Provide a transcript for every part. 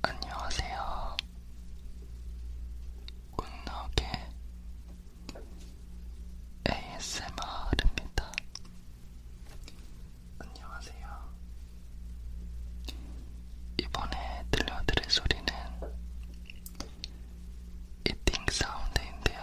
안녕하세요. 굿나게 ASMR입니다. 안녕하세요. 이번에 들려드릴 소리는 이팅 사운드인데요.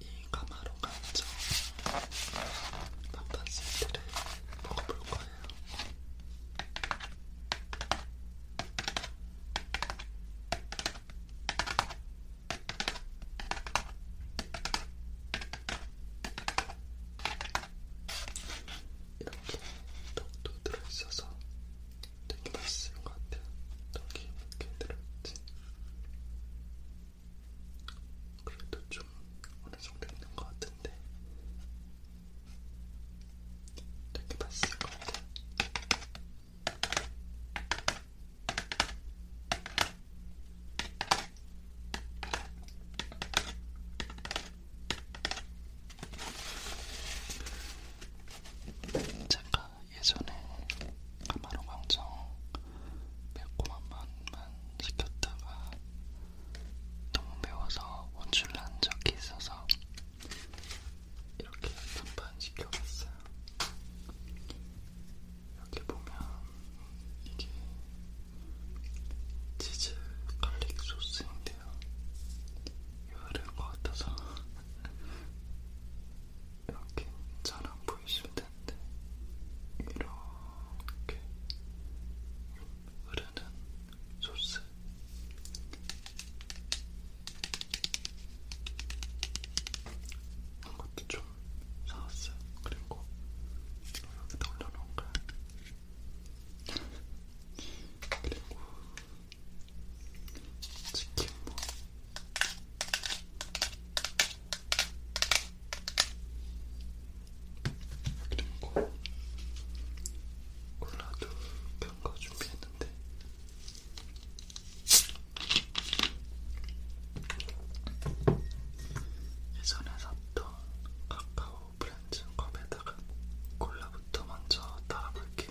이 가마로 감정 반반 세트를 먹어볼 거예요. 이렇게 떡도 들어있어서 되게 맛있을 것 같아요. 떡이 이렇게 들어있지. 그래도 좀 어느 정도 있는 것 같은데 이렇게 봤을 겁니다. 제가 예전에 카마로 광정 매콤한 맛만 시켰다가 너무 매워서 원출난 적이 있어서 이렇게 한 판 시켜봤어요. 여기 보면 이게 치즈 갈릭 소스인데요. 이거를 같아서 이렇게 잘안 보이실 텐데 이렇게 흐르는 소스. 이것도 좀 사왔어요. 그리고 여기다 올려놓은 거야. 그리고 치킨 뭐. 그리고 콜라도 큰거 준비했는데 있는데 예전에 샀던 카카오 브랜드 컵에다가 콜라부터 먼저 따라 볼게요.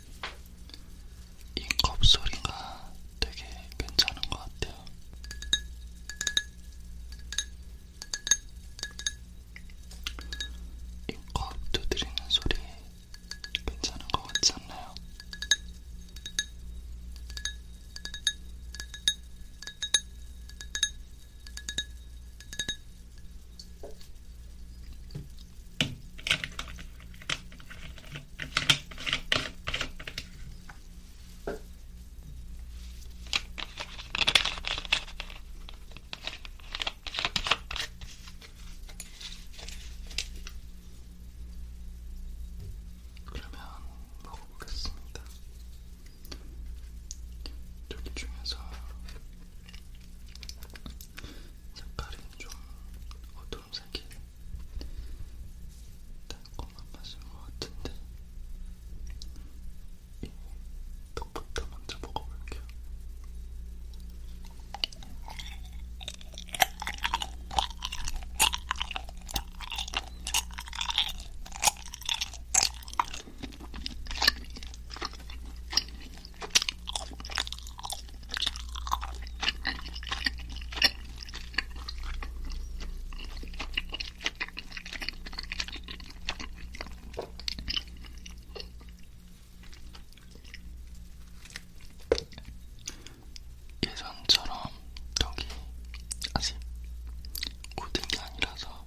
이컵 소리가 되게 괜찮은 것 같아요. 이 컵 두드리는 소리 괜찮은 것 같지 않나요? 그러면 먹어보겠습니다. 여기 중에서 색깔이 좀 어두운색이 달콤한 맛인 것 같은데 이 떡부터 먼저 먹어볼게요. 예전처럼 여기 아직 고등이 아니라서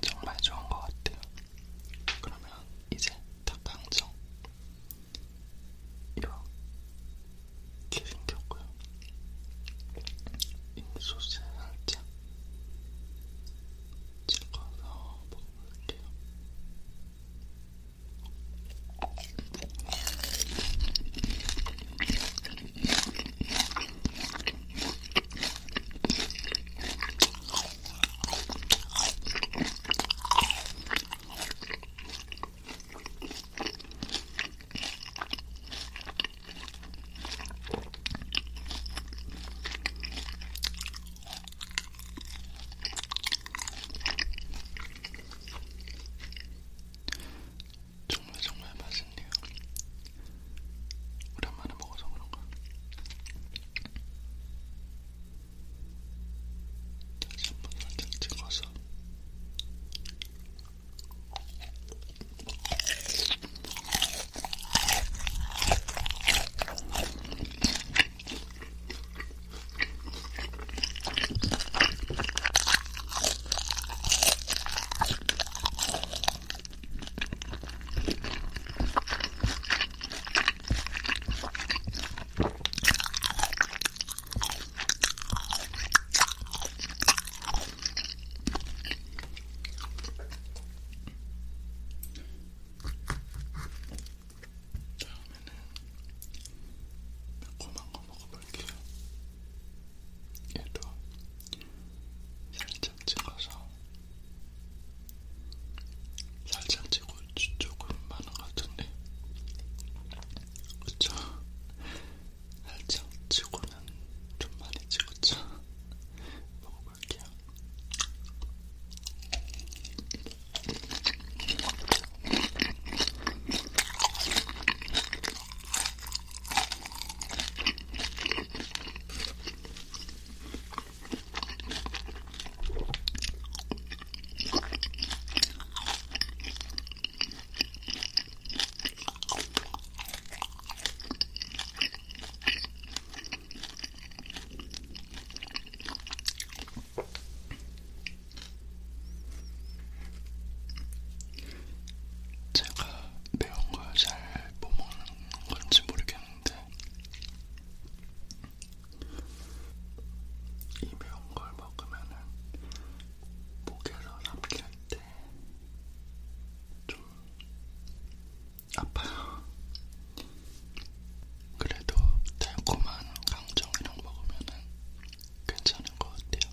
정말 좋은 것 같아요. 그러면 이제 닭강정 이렇게 생겼고요. 인소스 살짝 찍어서 먹어볼게요. 정말 정말 맛있네요. 오랜만에 먹어서 그런가? 다시 한번 살짝 찍어서 다음에는 매콤한 거 먹어볼게요. 얘도 살짝 찍어서 살짝 찍고 조금 많은 것 같은데 그쵸? 살짝 찍고는 좀 많이 찍었죠? 먹어볼게요 제가 매운 걸잘못 먹는 그런지 모르겠는데 이 매운 걸 먹으면은 목에서 삼킬 때좀 아파요. 그래도 달콤한 강정이랑 먹으면은 괜찮은 것 같아요.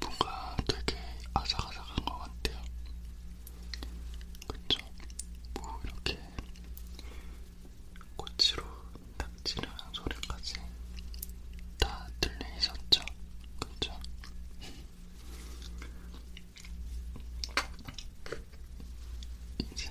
뭔가 되게 아삭아삭한 것 같아요. 그쵸? 뭐 이렇게 꼬치로 닥치는 소리까지 다 들리셨죠? 그쵸? 이제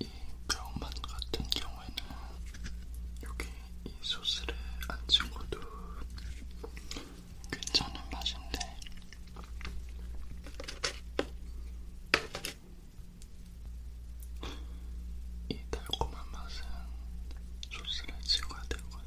이 병맛 같은 경우에는 여기 이 소스를 안 찍어도 괜찮은 맛인데 이 달콤한 맛은 소스를 찍어야 될 것 같아요.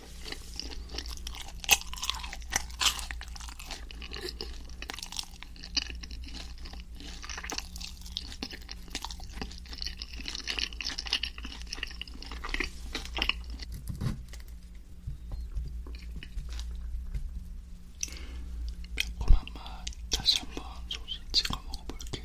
매콤한 맛 다시 한번 소스 찍어 먹어볼게요.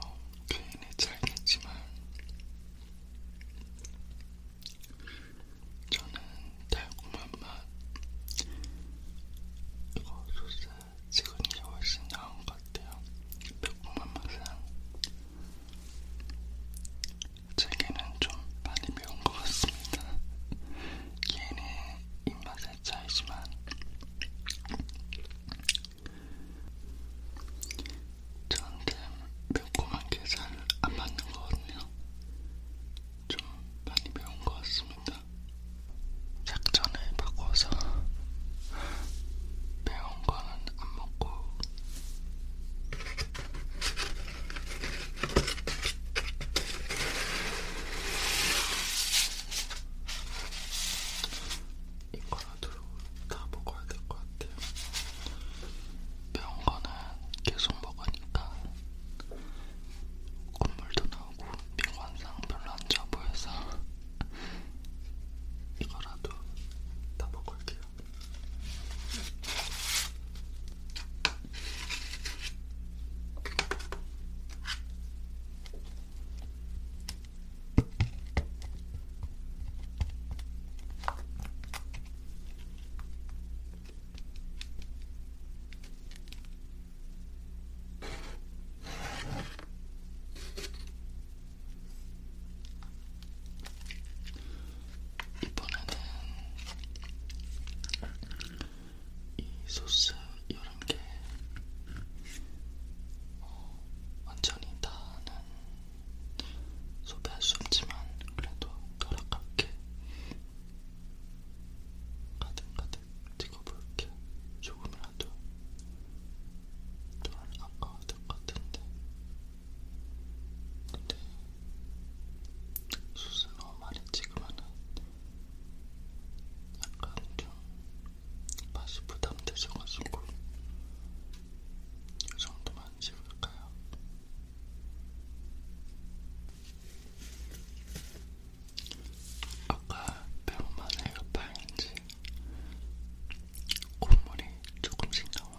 어, 괜히 잘겠지만 저는 달콤한 맛. 이거 소스 지금이 훨씬 나은 것 같아요. 매콤한 맛은 제게는 좀 많이 매운 것 같습니다. 걔는 입맛의 차이지만 저한테 매콤한 게 잘 안 맞는 거거든요. 좀 많이 배운 것 같습니다. 작전을 바꿔서 매운 거는 안 먹고 이거라도 다 먹어야 될 것 같아요. 매운 거는 계속 먹으니까 콧물도 나오고 미관상 별로 안 좋아 보여서 이거라도 다 먹을게요. 이번에는 이 소스 여러 개 어, 완전히 다는 소비할 수 없지만 그래도 덜 아깝게 가득가득 찍어볼게. 조금이라도 또한 아까웠던 것 같은데. 근데 수스너 많이 찍으면은 약간 좀 맛이 부담되셔가지고 이 정도만 찍을까요? 아까 배운만 에어파인지 콧물이 조금씩 나오네요.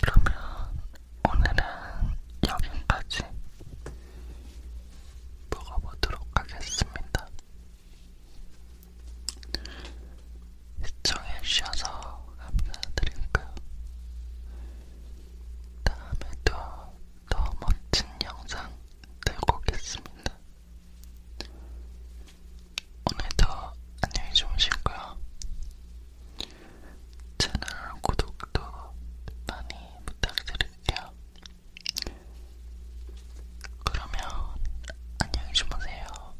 그러면 오늘은 여기까지 먹어보도록 하겠습니다. 시청해 주셔서 감사드리고요. 다음에도 더 멋진 영상 들고 오겠습니다. 오늘도 안녕히 주무시고요. 채널 구독도 많이 부탁드릴게요. 그러면 안녕히 주무세요.